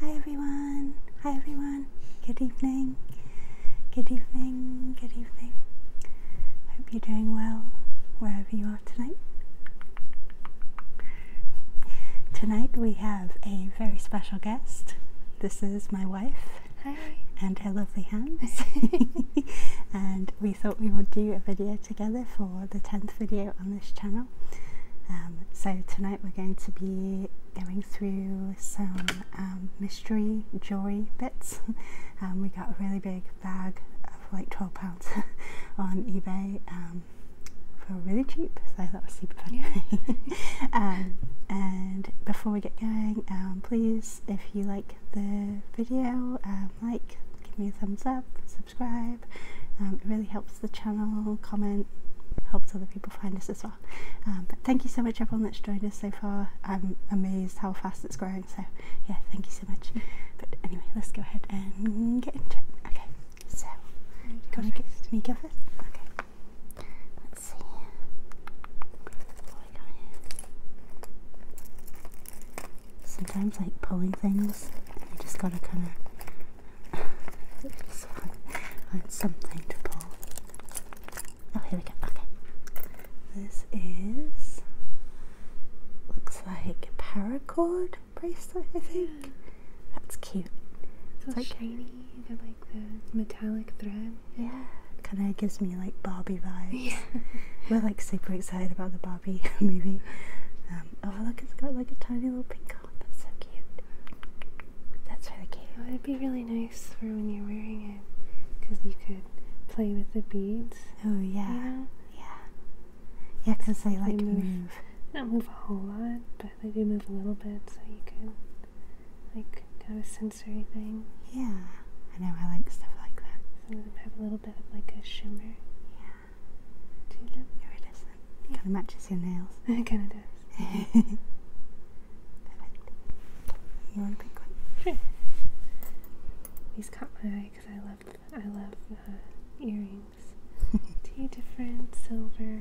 Hi everyone. Hi everyone. Good evening. Good evening. Good evening. Hope you're doing well wherever you are tonight. Tonight we have a very special guest. This is my wife. Hi. And her lovely hands. and we thought we would do a video together for the 10th video on this channel. Um, so tonight we're going to be going through some um, mystery jewelry bits. Um, we got a really big bag of like 12 pounds on eBay for really cheap, so that was super funny. and before we get going, please, if you like the video, like, give me a thumbs up, subscribe. Um, it really helps the channel, comment, helps other people find us as well. Um, but thank you so much, everyone that's joined us so far. I'm amazed how fast it's growing. So, yeah, thank you so much. But anyway, let's go ahead and get into it. Okay, so, can I get me go first? Okay, let's see. Sometimes, like pulling things, you just gotta kind of just want, something to pull. Oh, here we go. Okay. This is looks like a paracord bracelet, I think. That's cute. It's, like, shiny. they like the metallic thread. Yeah. Kind of gives me like Barbie vibes. Yeah. We're like super excited about the Barbie movie. Um, oh, look, it's got like a tiny little pink Oh, that's so cute. That's really cute. It would be really nice for when you're wearing it because you could play with the beads. Oh, yeah. Yeah. Yeah, because they like move, Not move a whole lot, but they do move a little bit, so you can, like, kind of a sensory thing. Yeah. I know, I like stuff like that. Some of them have a little bit of, like, a shimmer. Yeah. Do Kind of matches your nails. it kind of does. Perfect. These caught my eye because I love, I love uh, earrings. Two different silver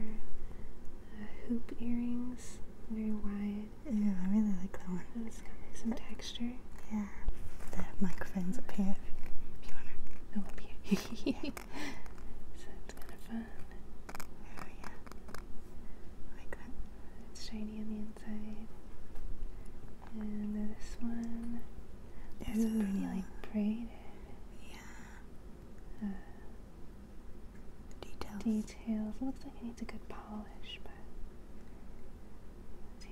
uh, hoop earrings, very wide. Ooh, I really like that one. it's got some texture. Yeah. The microphone's up here if you want to. Oh, up here. so it's kind of fun. Oh yeah, like that. It's shiny on the inside. And this one, it's pretty like braided. Yeah. Uh, details. Details. looks like it needs a good polish, but.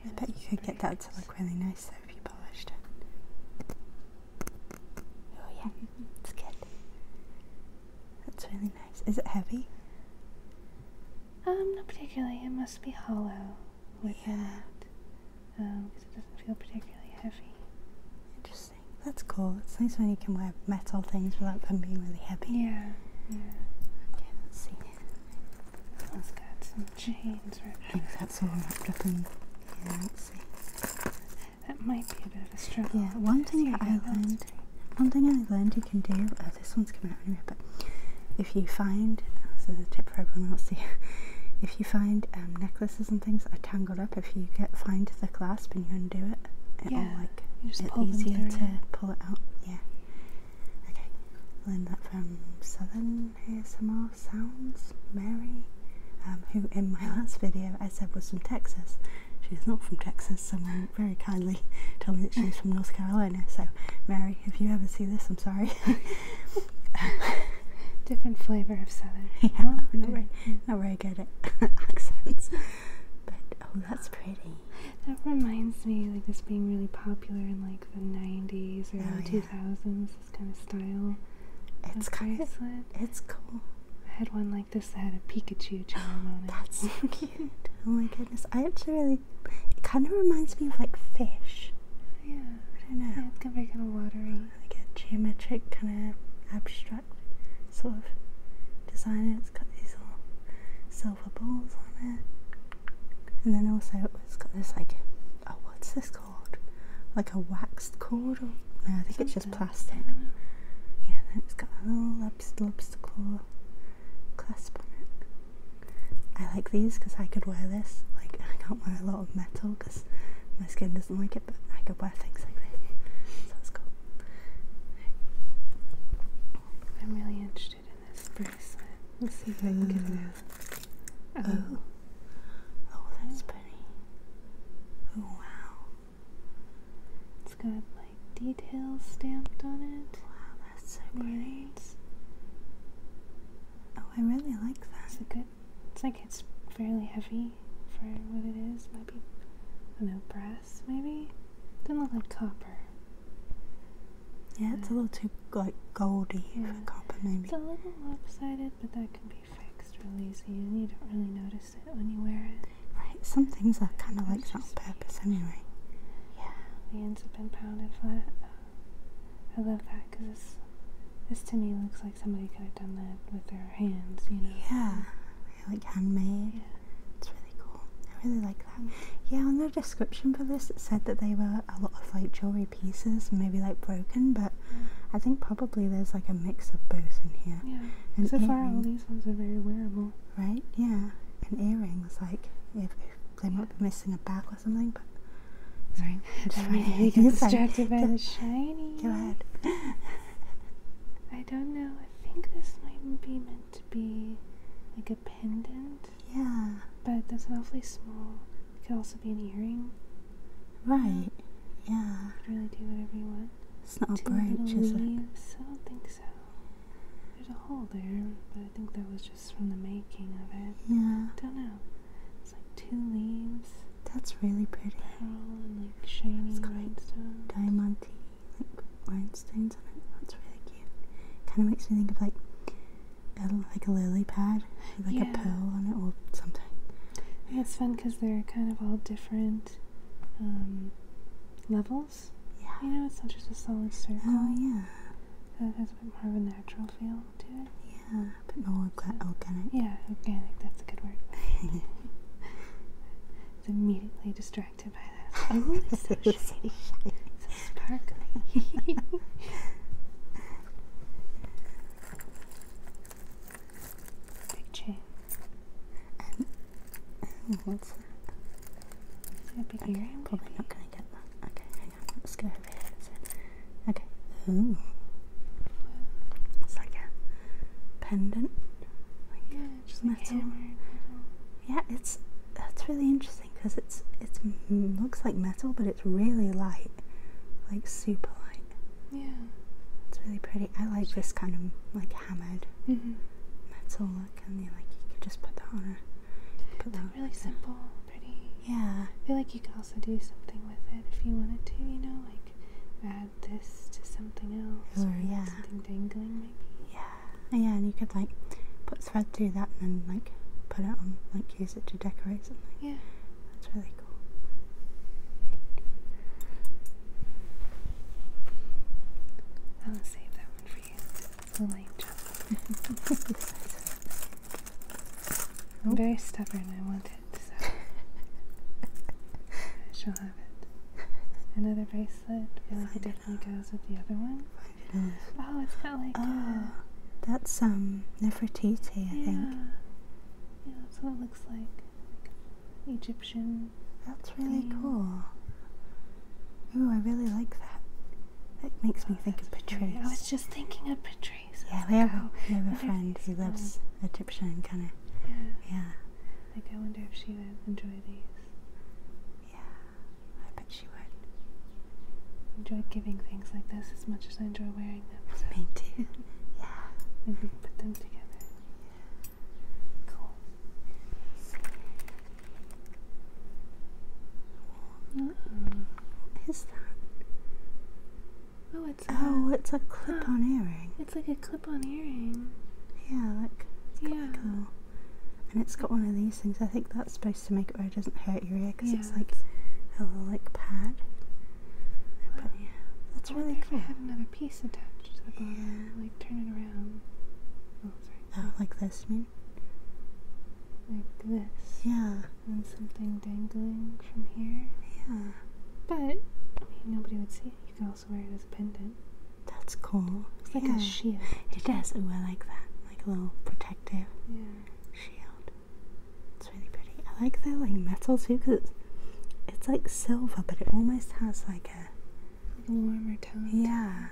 I bet you could get that to look really nice though if you polished it. Oh yeah, that's good. That's really nice. Is it heavy? Um, not particularly. It must be hollow within yeah. it. Um, because it doesn't feel particularly heavy. Interesting. That's cool. It's nice when you can wear metal things without them being really heavy. Yeah. Yeah. Okay, let's see. it's got some chains right I that's all wrapped up let's see. That might be a bit of a struggle. Yeah, one thing I learned, one thing I learned you can do. Uh, this one's coming out anyway, but if you find, so this is a tip for everyone else here. If you find um, necklaces and things are tangled up, if you get find the clasp and you undo it, it'll like it's easier to pull it out. Yeah. Okay, learned that from Southern ASMR sounds Mary, um, who in my last video I said was from Texas. She is not from Texas, someone very kindly told me that she was from North Carolina. So, Mary, if you ever see this, I'm sorry. Different flavour of Southern. Yeah, oh, not, very, not very good accents. But, oh, that's pretty. That reminds me, like, this being really popular in, like, the 90s or 2000s has this kind of style. It's kind of it's cool. I had one like this that had a Pikachu charm on it. That's so cute. Oh my goodness. I actually really it kind of reminds me of like fish. Yeah. I don't know. Yeah, it's very kind of watery. Like a geometric kind of abstract sort of design. It's got these little silver balls on it. And then also it's got this like oh what's this called? Like a wax cord? Or, no, I think it's just plastic. Yeah, then it's got a little lobster, lobster claw clasp on it. I like these because I could wear this. Like, I can't wear a lot of metal because my skin doesn't like it, but I could wear things like this. So that's cool. I'm really interested in this bracelet. Let's see if I can get oh. oh, oh that's pretty. Oh wow. It's got like details stamped on it. Wow, that's so pretty. Oh, I really like that. It's good it's like it's fairly heavy for what it is. Maybe a I brass maybe? Doesn't look like copper. Yeah, it's a little too like goldy for copper maybe. It's a little lopsided, but that could be fixed, really easy, and you don't really notice it when you wear it. Right, some things are kind of like that purpose anyway. Yeah, the ends have been pounded flat. I love that because this, to me looks like somebody could have done that with their hands, you know? Yeah, like handmade. It's really cool. I really like that. Yeah, on the description for this, it said that they were a lot of like jewelry pieces, maybe like broken, but I think probably there's like a mix of both in here. Yeah. And so far, all these ones are very wearable. Right? Yeah. And earrings, like, if, they might be missing a back or something, but. Sorry. i distracted by the shiny. Go ahead. I don't know. I think this might be meant to be like a pendant. Yeah. But that's awfully small. It could also be an earring. Right. Yeah. Really do whatever you want. It's not Two a branch, is it? I don't think so. There's a hole there, but I think that was just from the making of it. Yeah. I don't know. It's like two leaves. That's really pretty. Pearl and like shiny it's rhinestones. Diamondy, like rhinestones on it. That's really cute. Kind of makes me think of like a, like a lily pad, with, like a pearl on it or something it's fun because they're kind of all different um, levels. Yeah. You know, it's not just a solid circle. Oh, yeah. So it has a bit more of a natural feel to it. Yeah, but bit more organic. Yeah, organic, that's a good word. It's immediately distracted by that. Oh, it's so so sparkly picture. probably not going to get that. Okay, Let's go Okay. Ooh. It's pendant. yeah, Yeah, it's that's really interesting because it's it's mm, looks like metal, but it's really light, like super light. Yeah. It's really pretty. I like this kind of like hammered mm-hmm. metal look, and like you could just put that on a. Put that really simple, pretty. Yeah. I feel like you could also do something with it if you wanted to. You know, like add this to something else, or yeah. something dangling maybe. Yeah. yeah, and you could like put thread through that, and then like put it on, like use it to decorate something. Yeah. That's really cool. I'll save that one for you. It's light job. I'm very stubborn. I want it, so I shall have it. Another bracelet. I feel like it definitely goes with the other one. It oh, it's got like. Oh, that's um Nefertiti, I think. Yeah, that's what it looks like. Egyptian. That's really cool. Ooh, I really like that. That makes me think of Patrice. I was just thinking of Patrice. Yeah, we have, a, we have a friend who loves um, Egyptian kind of. yeah. Like, I wonder if she would enjoy these. Yeah, I bet she would. Enjoy giving things like this as much as I enjoy wearing wearing them. Me too. Yeah. Maybe put them together. Yeah. Cool. -oh. What is that? Oh, it's oh, a, it's a clip-on oh. earring. It's like a clip-on earring. Yeah, like yeah. Like and it's got one of these things. I think that's supposed to make it where it doesn't hurt your ear because it's like a little like pad. But yeah, that's really cool piece attached to the bottom. Like turn it around. Oh, sorry. Oh, like this, mean? Like this. Yeah. And something dangling from here. Yeah. But I mean, nobody would see it. You could also wear it as a pendant. That's cool. It's like a shield. It does. Oh, I like that. Like a little protective yeah. shield really pretty. I like the like metal too because it's, like silver, but it almost has like a warmer tone. Yeah,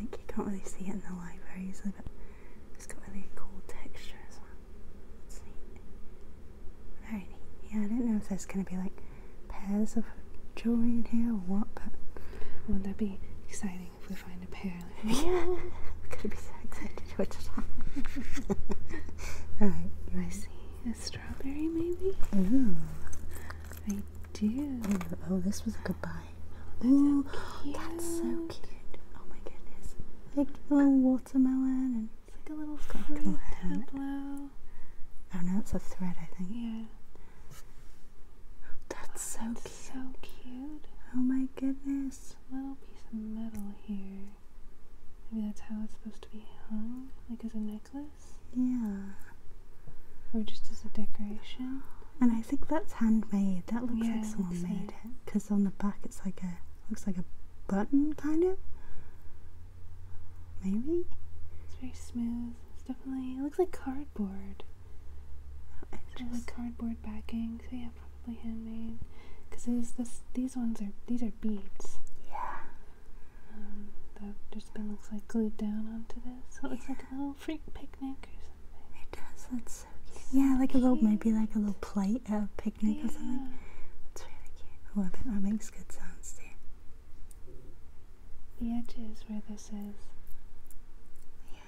like you can't really see it in the light very easily, but it's got really cool texture as well. Very neat. Yeah, I don't know if there's gonna be like pairs of jewelry in here or what, but wouldn't that be exciting if we find a pair? Like gonna be so excited to it. All right, I see. It's strawberry, maybe? Ooh. I do. Oh, this was a goodbye. Ooh, that's so cute. Oh my goodness. Like a little watermelon and it's like a little fruit tableau. Oh no, it's a thread, I think. Yeah. That's so cute. so cute. Oh my goodness. Little piece of metal here. Maybe that's how it's supposed to be hung, like as a necklace? Yeah. Or just as a decoration? And I think that's handmade. That looks like someone made it. Because on the back it's like a, looks like a button, kind of? Maybe? It's very smooth. It's definitely, it looks like cardboard. Oh, so like cardboard backing. So yeah, probably handmade. Because these ones are, these are beads. Yeah um, that just been looks like glued down onto this. So it looks like a little freak picnic or something. It does. That's so cute. Yeah, like a little maybe like a little plate at a picnic or something. That's really cute. I love it. That makes good sounds too. The edges where this is. Yeah.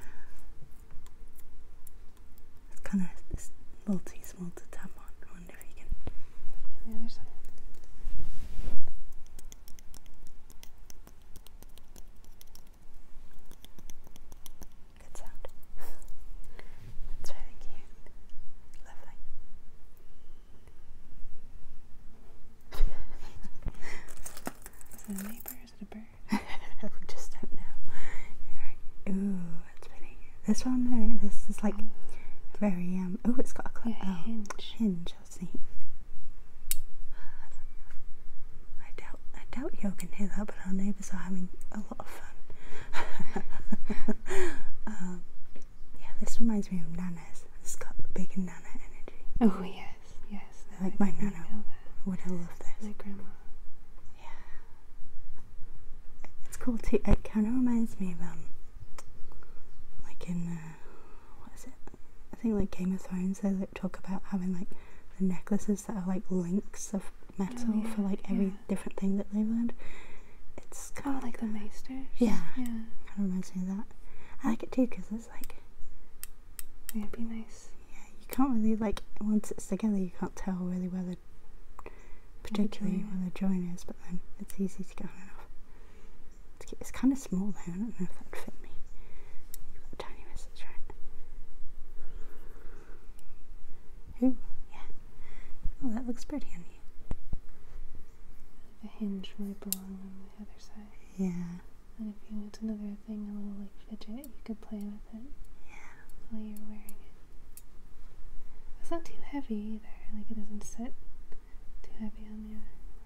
It's kind of it's a little too small to tap on on the other side. That's really cute. Lovely. is it a neighbor? Is it a bird? we just don't know. Ooh, that's pretty. This one, this is like very um. Oh, it's got a clip. Yeah, oh, hinge. Oh, hinge. I see. I doubt, I doubt you can hear that, but our neighbours are having a lot of fun. Um, yeah, this reminds me of Nana's. It's got big Nana energy. Oh yes, yes. Like my Nana would have loved this. My grandma. Yeah. It's cool too. It kind of reminds me of um like in what is it? I think like Game of Thrones. They talk about having like the necklaces that are like links of metal oh, for like every different thing that they've learned. It's oh, kind of like the maesters. Yeah, yeah. Kind of reminds me of that. I like it too because it's like it'd be nice. Yeah, you can't really like once it's together, you can't tell really whether particularly where the joint is, but then it's easy to get on and off. It's, kind of small though, I don't know if that would fit me. tiny wrist, right. Ooh, yeah. Oh, that looks pretty on The hinge might belong on the other side. Yeah. And if you want another thing, a little like fidget, you could play with it. Yeah. While you're wearing it. It's not too heavy either, like it doesn't sit too heavy on your,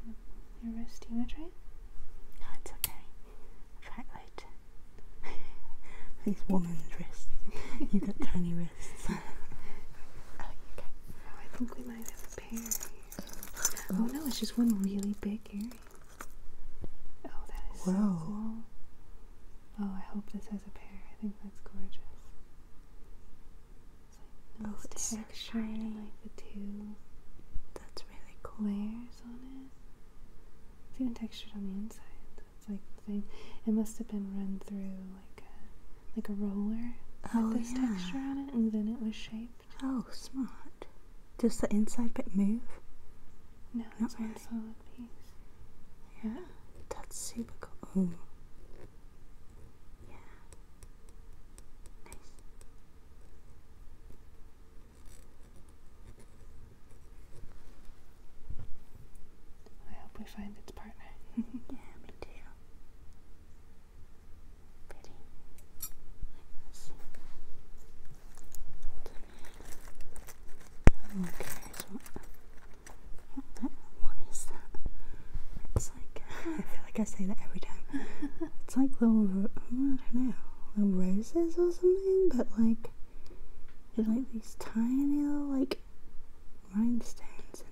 on your wrist. you want to No, it's okay. Fat load. These woman's wrists. You've got tiny wrists. oh, you oh, I think we might have a pair Oh, no, it's just one really big earring. Oh, that is Whoa. so cool. Oh, I hope this has a pair. I think that's gorgeous. Like oh, it's so Like the two. That's really cool. Layers on it. It's even textured on the inside. That's like the thing. It must have been run through like a like a roller with oh, this texture on it, and then it was shaped. Oh, smart. Does the inside bit move? No, Not it's really. solid piece. Yeah. That's super cool. Yeah. Nice. I hope we find its partner. yeah, me too. Pretty. let Okay, what is that? It's like I feel like I say that every time. It's like little I don't know little roses or something, but like they like these tiny little like rhinestones.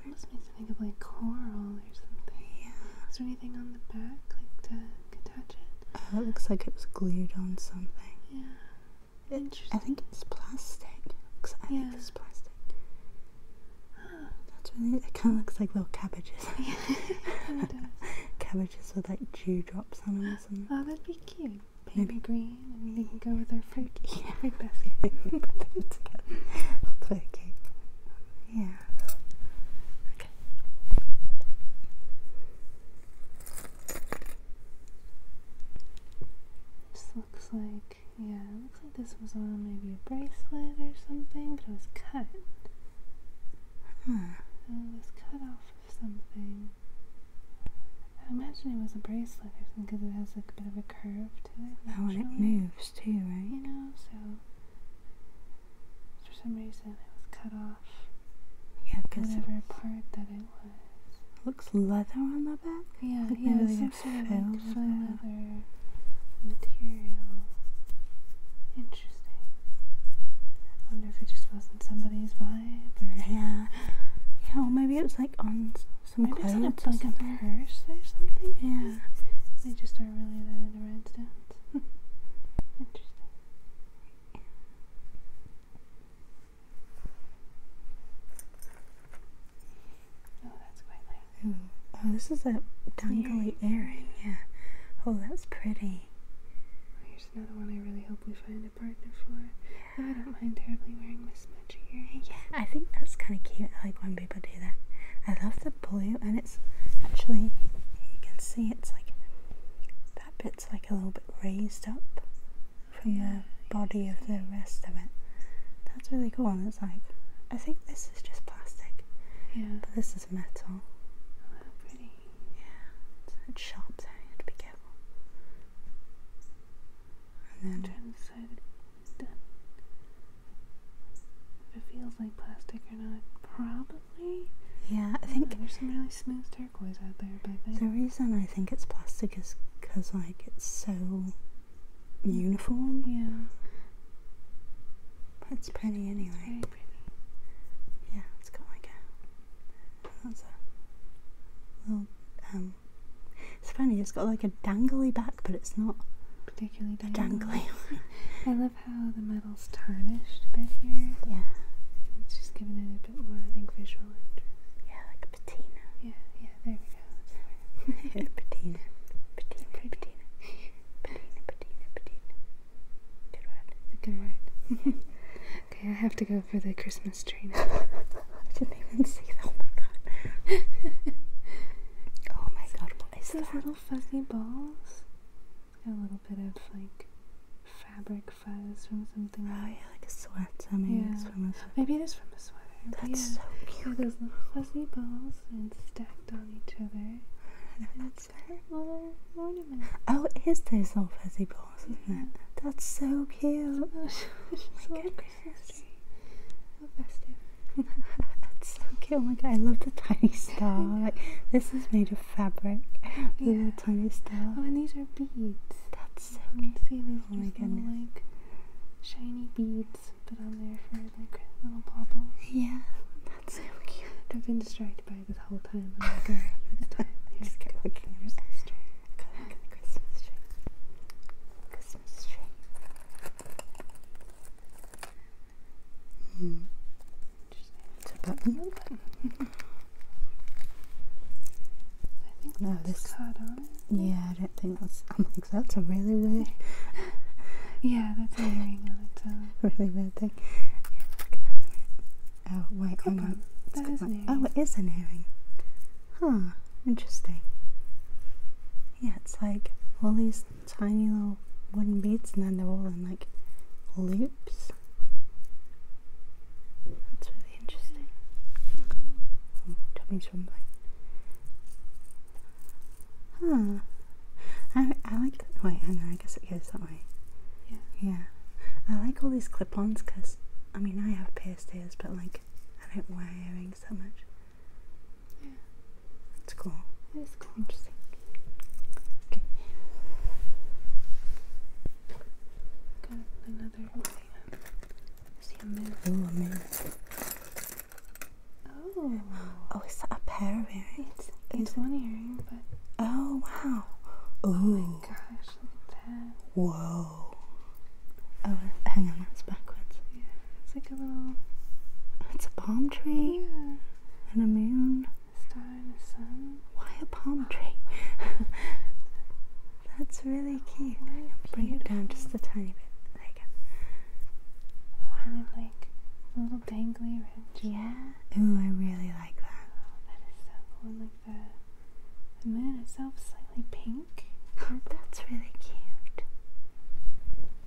In it must makes me think of like coral or something. Is there anything on the back like to attach it? Uh, it looks like it was glued on something. Yeah. Interesting. I think it's plastic. yeah. I think it's plastic. it kind of looks like little cabbages. cabbages with like dewdrops on them or something. Oh, that'd be cute. Maybe green, and they can go with our fruit, yeah. basket. Okay. This looks like yeah, looks like this was on maybe a bracelet or something, but it was cut. Huh. Hmm. It was cut off of something. I imagine it was a bracelet or something because it has like a bit of a curve to it. Oh, and it moves too, right? You know, so for some reason it was cut off. Yeah, because whatever part that it was. Looks leather on the back. Yeah, like yeah. Some like feels leather material. Interesting. I wonder if it just wasn't somebody's vibe or yeah. Yeah, well maybe it was like on some maybe clothes. Maybe it's like a purse or something. Yeah. They just aren't really that into rhinestones. Interesting. Oh, that's quite nice. Oh, oh, this is a dangly earring. Yeah. Oh, that's pretty. Oh, here's another one I really hope we find a partner for. I don't mind terribly wearing this much earring. Yeah, I think that's kind of cute. I like when people do that. I love the blue, and it's actually, you can see it's like that bit's like a little bit raised up from the body of the rest of it. That's really cool. And it's like I think this is just plastic. Yeah. But this is metal. Oh, how pretty. Yeah. It's sharp, so you have be careful. And then turn the side If it feels like plastic or not, probably. Yeah, I, think there's some really smooth turquoise out there, but the reason I think it's plastic is because like it's so uniform. Yeah. It's pretty anyway. It's very pretty. Yeah, it's got like a. That's a little. Um, it's funny, it's got like a dangly back, but it's not particularly dangly. I love how the metal's tarnished a bit here. Yeah. It's just giving it a bit more, I think, visual interest. Yeah, like a patina. Yeah, yeah there we go. patina. Patina, patina. Patina, patina, patina. Good word. Good word. okay, I have to go for the Christmas tree now. I didn't even see that. Oh my god. oh my god, what is those that? little fuzzy balls? A little bit of like fabric fuzz from something. Oh yeah, like a sweat. a sweat. Maybe it is from a sweat. That's so cute. those little fuzzy balls and stacked on each other. That's very little Oh, it is those little fuzzy balls, isn't it? That's so cute. Oh, oh my goodness. How festive. That's so cute. Oh my god, I love the tiny star. like this is made of fabric. The little tiny star. Oh, and these are beads. That's so you cute. See, these oh my goodness. Little, like shiny beads put on there for like little baubles. Yeah, that's so cute. I've been distracted by it this whole time. I'm like, alright, this the Christmas tree. the Christmas tree. Christmas tree. Mm. It's a button. I think no, this card on it. Yeah, I don't think that's. I'm that's a really weird. yeah, that's a really weird. really weird thing. Oh wait, Come on. oh, it is an earring. Huh. Interesting. Yeah, it's like all these tiny little wooden beads, and then they're all in like loops. That's really interesting. Oh, tummy's rumbling. Huh. I, I like. Wait, hang know. I guess it goes that way. Yeah. Yeah. I like all these clip-ons because, I mean, I have pierced ears, but like, I don't wear earrings that much. Yeah. That's cool. It is Interesting. Okay. Got another. Thing. See a moon. Ooh, Oh. Oh, is that a pair of earrings? It's one it? earring, but. Oh, wow. Oh my gosh, look at that. Whoa. Oh, uh, hang on, that's backwards. Yeah, it's like a little. It's a palm tree. And a moon. A star and a sun. Why a palm tree? that's really cute. Bring it down just a tiny bit. There you go kind oh, of like a little dangly ridge. Yeah. Ooh, I really like that. Oh, that is so cool. like the the moon itself is slightly pink. Oh, that's really cute.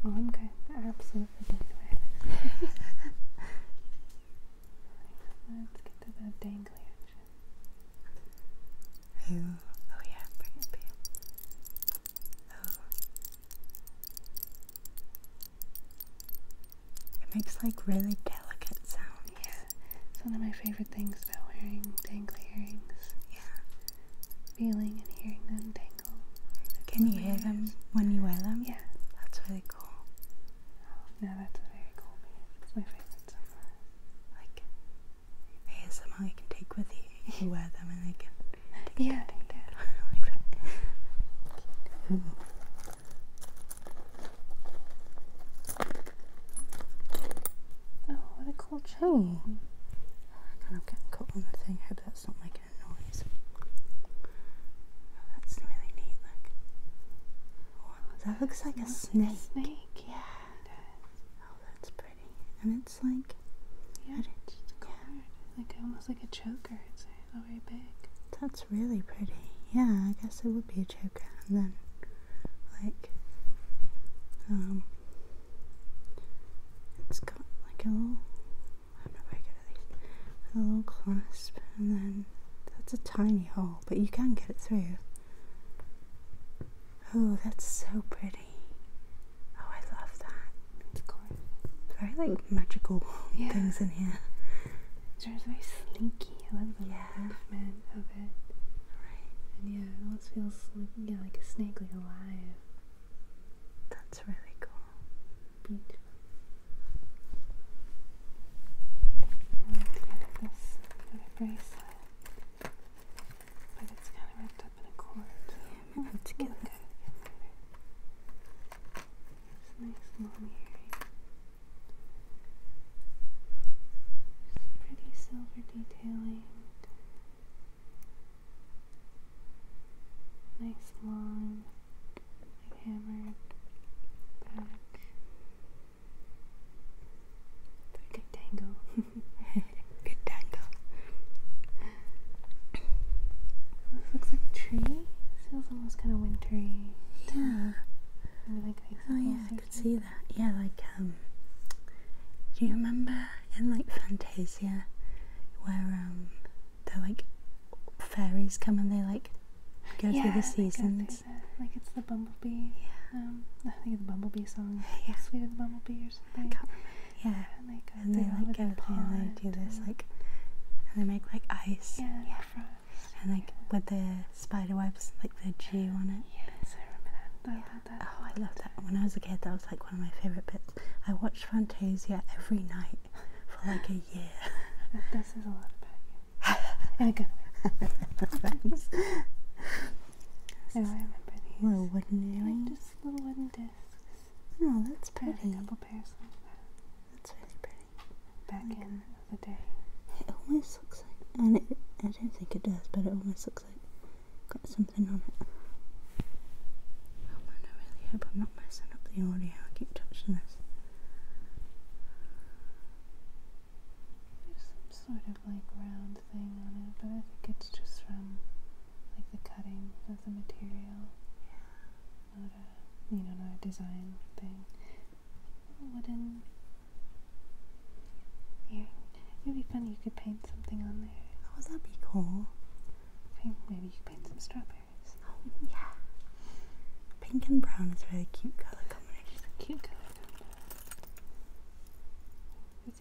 Oh, I'm going Absolutely getting it. Let's get to the dangly action. Ooh. Oh yeah, bring it up it makes like really delicate sound. Yeah, it's one of my favorite things about wearing dangly earrings. Yeah. Feeling and hearing them dangle. Can you hear them when you wear them? Yeah. That's really cool. Oh, no, that's a very cool band. It's my favorite so Like, ASMR you can take with you. You wear them and they can. yeah, like that. Oh, what a cool chain! I'm getting caught I hope that's not making a noise. that's really neat. Oh, Look. that looks like a snake. snake. Yeah that's pretty. And it's like, yeah, like almost like a choker. It's not oh, big. That's really pretty. Yeah, I guess it would be a choker. And then, like, um, it's got like a little. I'm not very good at these. A little clasp, and then that's a tiny hole, but you can get it through. Oh, that's so pretty. Oh, I love that. It's Very like magical things in here. It's very slinky. I love the yeah. movement of it. Right. And yeah, it almost feels like, yeah, like a snake, like alive. That's really cool. Beautiful. And this bracelet. But it's kind of wrapped up in a cord. Yeah, I'm to It's nice long earring. pretty silver detailing. Nice long, like back. Pretty good tangle. good dangle. This looks like a tree. It feels almost kind of wintry. Yeah. Maybe like oh yeah, I could see that. Yeah, like um, do you remember in like Fantasia where um, they're like fairies come and they like go through the seasons? The, like it's the bumblebee. Yeah. Um, I think of the bumblebee song. Yeah. Sweet of the bumblebee or something. Yeah. and they, like get palm and they do this like and they make like ice. Yeah. yeah. Frost, and like with the spider webs, like the G on it. Yes, I remember that. I yeah. that. Oh, I love that. When I was a kid, that was like one of my favorite bits. I watched Fantasia every night for like a year. This is a lot about you. In a good way. oh, I remember these. Little wooden earrings. just little wooden discs. Oh, no, that's pretty. Putting up pairs like that. Uh, that's really pretty. Back in the day. It almost looks like, and it, I don't think it does, but it almost looks like got something on it. Oh man, I really hope I'm not messing up the audio. I keep touching this. There's some sort of like round thing on it, but I think it's just from like the cutting of the material. Yeah. Not a, you know, not a design thing. Wooden. It'd be funny. You could paint something on there. Oh, that would be cool? maybe you could paint some strawberries. Oh, yeah. Pink and brown is really cute color combination. Cute color combination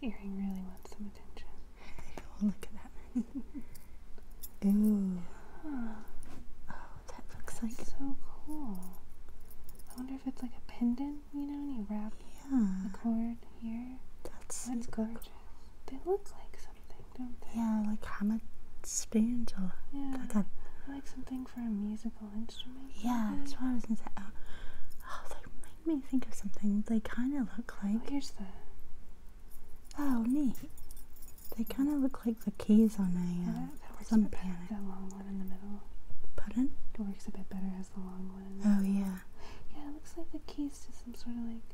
earring really wants some attention. Oh, look at that. Ooh. Oh, that looks like so cool. I wonder if it's like a pendant, you know, and you wrap yeah. the cord here. That's, gorgeous. They look like something, don't they? Yeah, like hammock spoons or yeah. Like something for a musical instrument. Yeah, that's why I was gonna say. Oh, oh, they make me think of something. They kind of look oh, like. here's the Oh, neat. They kind of look like the keys on a, uh, some piano. That long one in the middle. Pardon? It works a bit better as the long one. oh, yeah. Yeah, it looks like the keys to some sort of like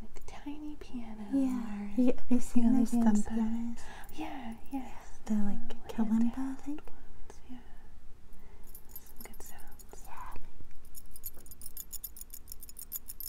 like tiny piano. Yeah. yeah have you seen you know, thumb pianos? Yeah, oh, yeah. yeah like, uh, kalimba, I Some good sounds. Yeah.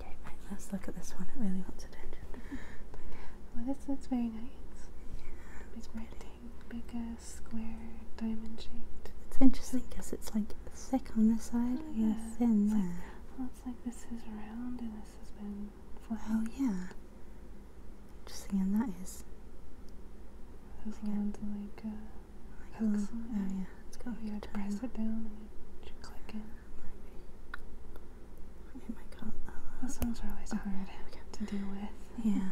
Okay, let's look at this one. It really wants attention. well, this is very nice. It's rotating, bigger, square, diamond shaped. It's interesting because it's like thick on this side, oh, yeah, thin there. Like, like this is round and this has been flat. Oh, yeah. Interesting, and that is. Those like. Uh, oh, so. oh yeah, it's got You would press it down and you click it. Maybe. It Those ones are always hard to deal with. Yeah.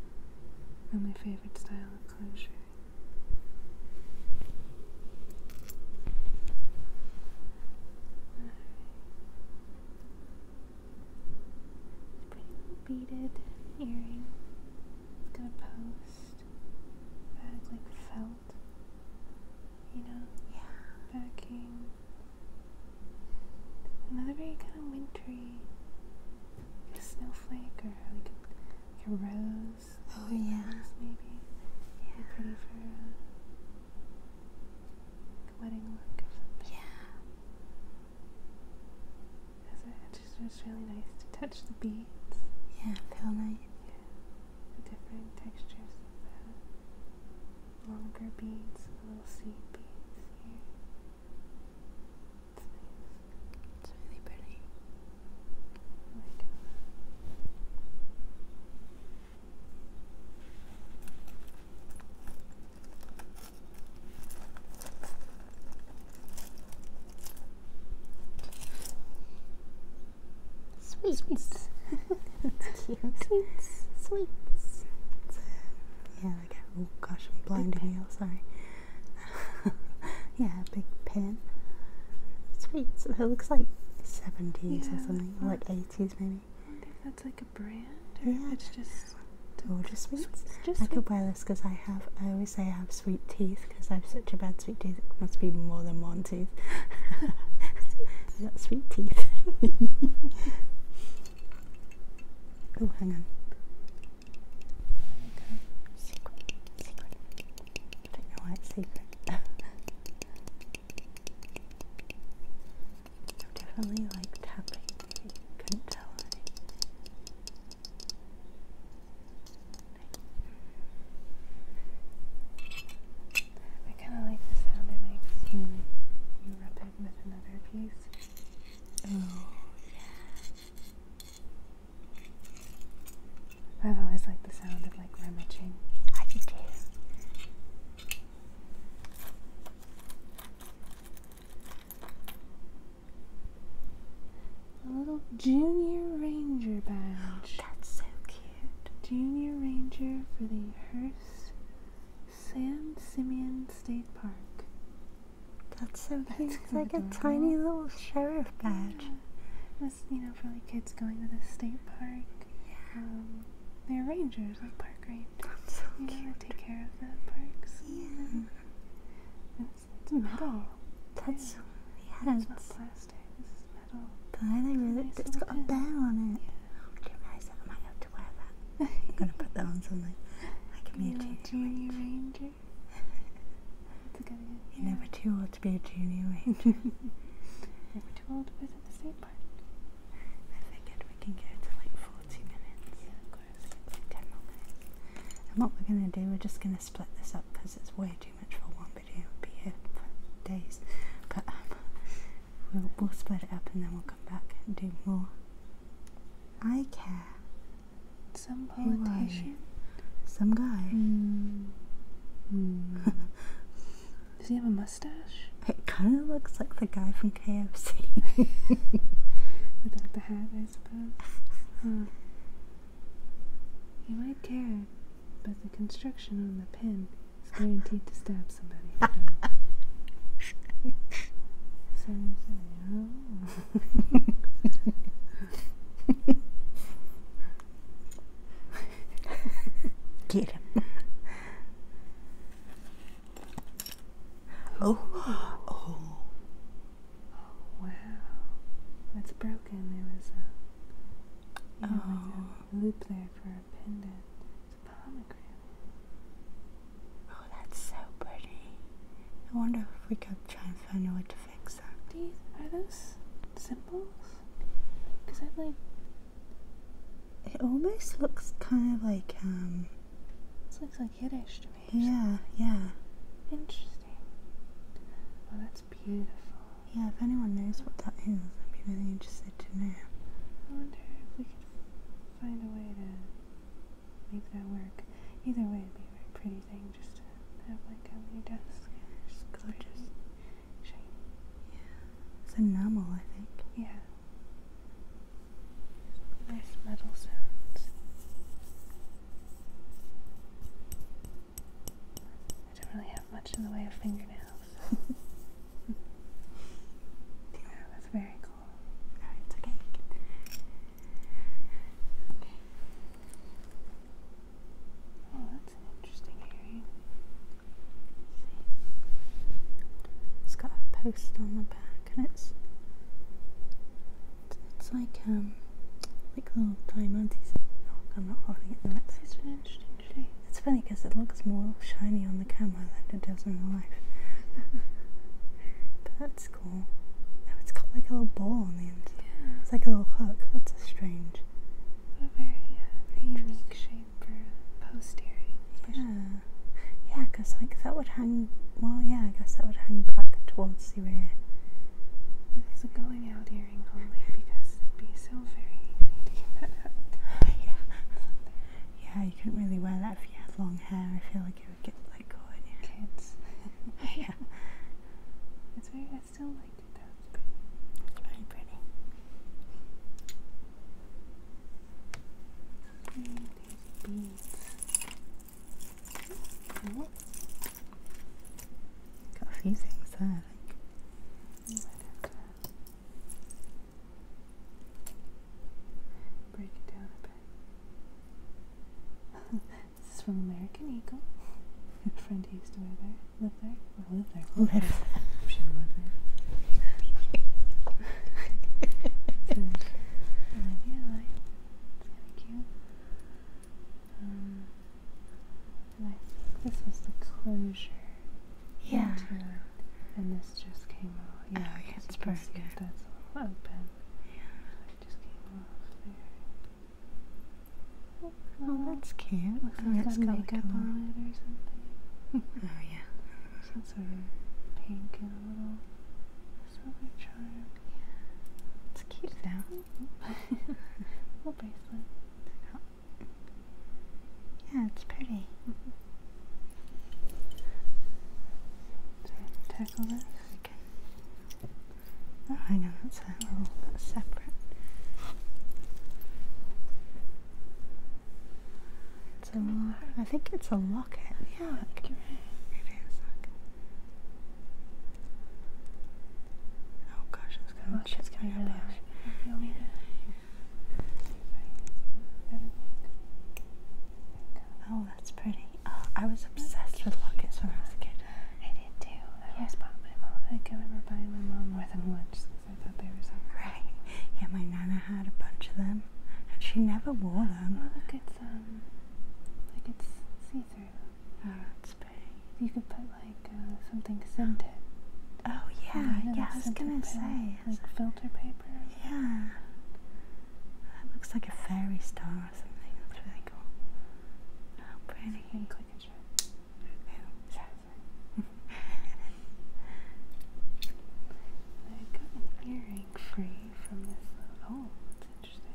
and favorite style of closure. beaded earring. got a post like felt, you know? Yeah. Backing. Another very kind of wintry, a snowflake or like a, rose. Oh, like yeah. maybe. Yeah. Be for a, wedding look Yeah just really nice to touch the beads. Yeah, feel nice. Yeah, the different textures of the longer beads, the little seed beads here. It's really pretty. Sweets. That's cute. Sweets. Sweets. Yeah, like a, oh gosh, I'm blinding you. Sorry. yeah, big pen. Sweets. It looks like 70s or something, like 80s maybe. I wonder that's like a brand or yeah. it's just gorgeous sweets. Just I could wear this because I have. I always say I have sweet teeth because I have such a bad sweet tooth. It must be more than one tooth. Is that sweet teeth. oh, hang on. Okay. Secret, secret. I don't secret. i definitely like tapping. couldn't tell. I kind of like the sound it makes when you rub it with another piece. Oh, yeah. I've always liked the sound of like rummaging. I do too. A little Junior Ranger badge. That's so cute. Junior Ranger for the Hearst San Simeon State Park. That's so cute. it's like a tiny little sheriff badge. Yeah. you know, for like kids going to the state park. Yeah. Um, they're rangers, like park rangers. That's so you cute. take care of the parks. Uh, yeah. It's metal. That's plastic. This is metal. But I really, nice it's got a bell on it. I am gonna put that on something. be a Mewtwo Ranger. You're never too old to be a junior ranger. We're too old to visit the state park. I figured we can go to like 40 minutes. 10 minutes. And what we're gonna do, we're just gonna split this up because it's way too much for one video will be here for days. But um, we'll, we'll split it up and then we'll come back and do more. I care. Some politician? Some guy. Hmm. Hmm. Does he have a mustache? It kind of looks like the guy from KFC. Without the hat, I suppose. Huh. You might care. But the construction on the pen is guaranteed to stab somebody. so Get him. Oh, oh, oh wow, that's brown broken. There was a, oh. loop there for a pendant. It's a pomegranate. Oh, that's so pretty. I wonder if we could try and find a way to fix that. These are those symbols? Because I like. It almost looks kind of like um. This looks like Yiddish to me. Yeah, yeah. Interesting. Well, that's that's beautiful. Yeah, if anyone knows what that is, I'd be really interested to know. I wonder if we could find a way to make that work. Either way, it'd be a very pretty thing just to have like on your desk. Yeah, just gorgeous. Shiny. Yeah. It's enamel, I think. Yeah. Nice metal sounds. I don't really have much in the way of fingernails. that's very cool. it's okay. Oh, that's an interesting earring. It's got a post on the back, and it's it's like um Oh, oh, it's funny because it looks more shiny on the camera than it does in real life. but that's cool. Oh, it's got like a little ball on the end. Yeah. It's like a little hook. That's a strange. What very, unique shape for post earring. Yeah. Yeah, because like that would hang. Well, yeah, I guess that would hang back towards the rear. It's a going out here? yeah. yeah, you couldn't really wear that if you had long hair. I feel like it would get like caught in yeah. It's very, I still like it though. It's pretty. Break it down a bit. this is from American Eagle. A friend who used to wear there, live there, or live there. Live. live. she live It's cute. Um, and I think this was the closure. Yeah. And this just came off. Yeah, oh, yeah it's perfect. that's all open. Yeah. just came off there. Oh, that's cute. Looks oh, makeup on it or something. oh yeah. So that's sort pink and a little silver charm. Yeah. It's cute though. little bracelet. Yeah, it's pretty. Mm -hmm. tackle this. Okay. Oh, hang on, that's a little separate. It's a I think it's a locket. Yeah, Oh gosh, it's coming Oh, that's pretty. Uh, I was obsessed with lockets when I was a kid. I did too. I always yeah. bought my mom. I can remember buying my mom more than once because I thought they were so cool. Yeah, my nana had a bunch of them, and she never wore them. Oh, look, it's um, like it's see-through. Oh, that's spray. You could put like uh, something scented. Oh yeah, yeah. I was gonna paper, say like filter paper. Yeah, that looks like a fairy star or something. That's really cool. Oh, pretty. So click and show. Yeah. I got an earring free from this little. Oh, that's interesting.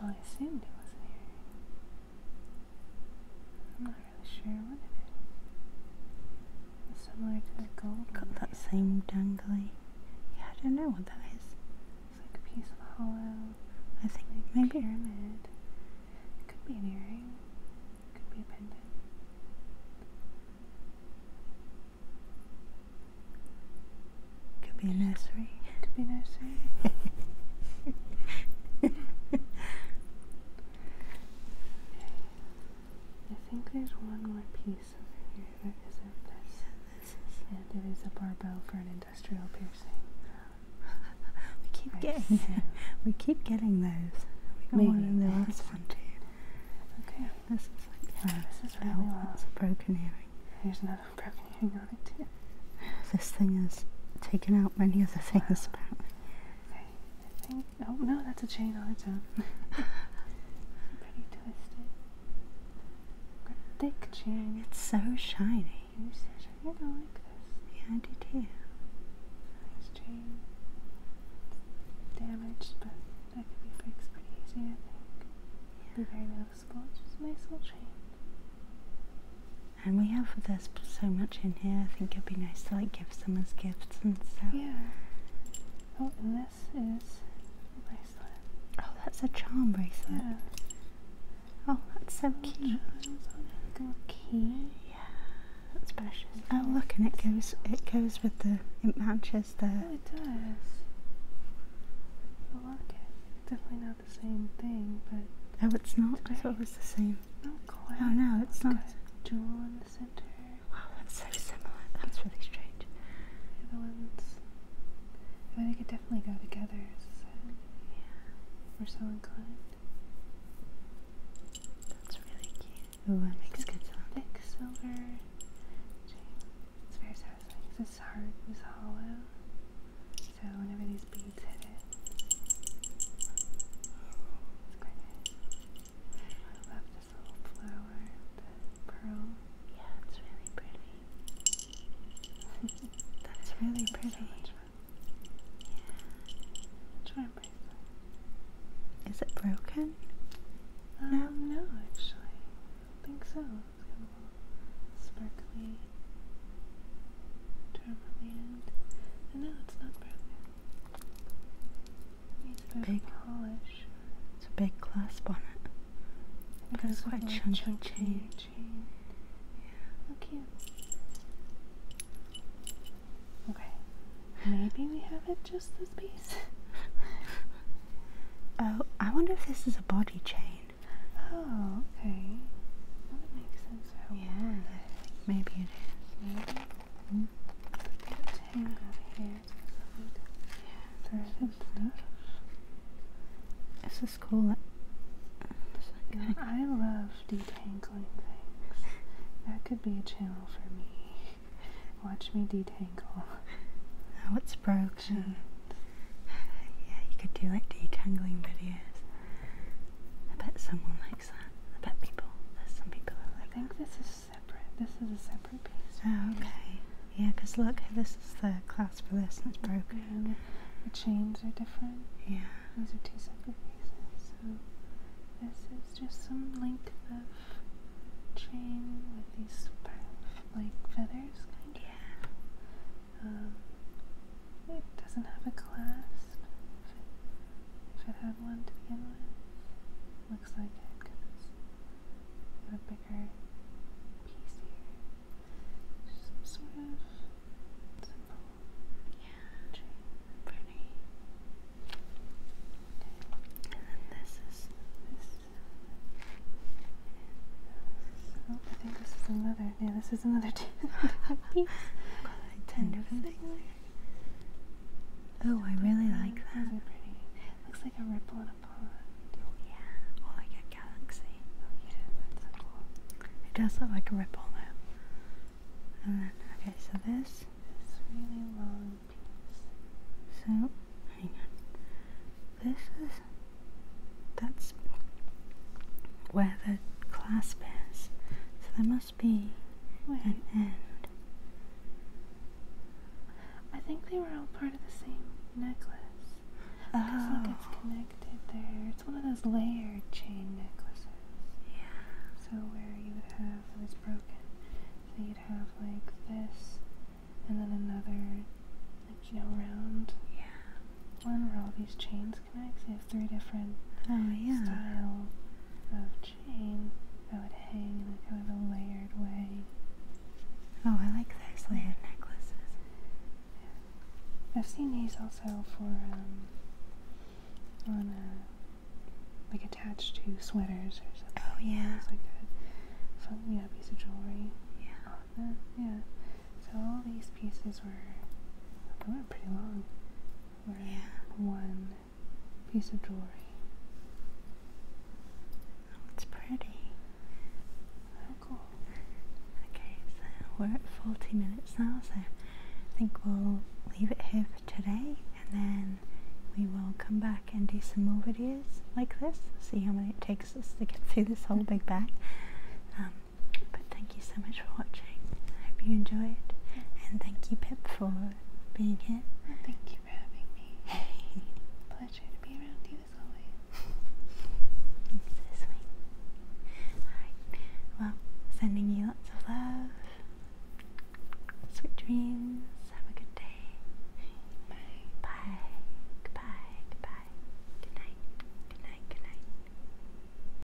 Well, I assumed it was an earring. I'm not really sure what it is. similar to the gold. Got that same dangly. Yeah, I don't know what that is. It's like a piece of hollow. I think like maybe pyramid. It could be an earring. It could be a pendant. Could be a nursery. Could be nursery. I think there's one more piece over here that And it is a barbell for an industrial piercing. we keep I getting we keep getting those. We got one in the last one too. Okay, this is like this is really well. It's a broken earring. There's another broken earring on it too. This thing has taken out many of the things, wow. apparently. oh no, that's a chain all its own. It's Pretty twisted. thick chain. It's so shiny. You're so don't like this. Yeah, I do too. Nice chain. damaged, but that could be fixed pretty easy, I think. Yeah. Be very noticeable. It's just a nice little chain. And we have this so much in here. I think it'd be nice to like give some as gifts and stuff. Yeah. Oh, and this is bracelet. Oh, that's a charm bracelet. Yeah. Oh, that's so oh, cute. key. Yeah, that's precious. Oh, look, and it goes. It goes with the. It matches the. Oh, it does. I Definitely know the same thing, but oh, it's not. I thought it the same. Not quite. Oh no, it's not. Jewel in the center. Wow, that's so similar. That's really strange. The ones. I mean, they could definitely go together. So yeah, we're so inclined. That's really cute. Ooh, that makes good sound. Thick silver It's very satisfying. This heart is hollow. So whenever these beads hit it, it's quite nice. I love this little flower, pearl. Yeah, it's really pretty. That's really pretty. Yeah. Which one bracelet? Is it broken? Um, no, actually. I don't think so. sparkly it's Big polish. It's a big clasp on it. But it's quite chunky chain. Yeah. How cute. Okay. Maybe we have it just this piece. oh, I wonder if this is a body chain. Oh, okay yeah, Maybe it is. Maybe. This is cool. I love detangling things. That could be a channel for me. Watch me detangle. Oh, it's broken. Mm-hmm. Yeah, you could do like detangling videos. I bet someone likes that. I bet people, there's some people I think this is separate. This is a separate piece. Oh, okay. Yeah, because look, this is the clasp for this and it's broken. the, chains are different. Yeah. Those are two separate pieces. So this is just some length of chain with these like feathers, kind of. Yeah. Um, it doesn't have a clasp. If it had one to begin with. Looks like it because it's got a bigger piece here. sort of simple yeah. Pretty. And then this is this is another. Oh, yeah, this is another piece. Oh, I really like that. Looks like a ripple in a pond. Oh yeah, or like a galaxy. Oh yeah, that's cool. It does look like a ripple though. And then, okay, so this. This really long piece. So, hang on. This is. That's where the what clasp So there must be an end. I think they were all part of the same necklace. Because oh. it's connected there. It's one of those layered chain necklaces. Yeah. So where you would have it was broken. So you'd have like this and then another like you know round yeah. One where all these chains connect. They have three different oh, styles of chain that would hang in a a layered way. Oh, I like those layered necklaces. I've seen these also for um, on a, like attached to sweaters or something. Oh yeah, it's like a fun yeah piece of jewelry. Yeah. Yeah. So all these pieces were going pretty long yeah. one piece of jewelry. Oh, it's pretty. Oh, cool. Okay, so we're at 40 minutes now, so I think we'll leave it here for today and then we will come back and do some more videos like this. See how many it takes us to get through this whole big bag. Um, but thank you so much for watching. I hope you enjoyed. And thank you, Pip, for being here. Well, thank you for having me. Pleasure to be around you as always. It's so sweet. Alright. Well, sending you lots of love. Sweet dreams. Have a good day. Bye. Bye. Goodbye. Goodbye. Good night. Good night. Good night.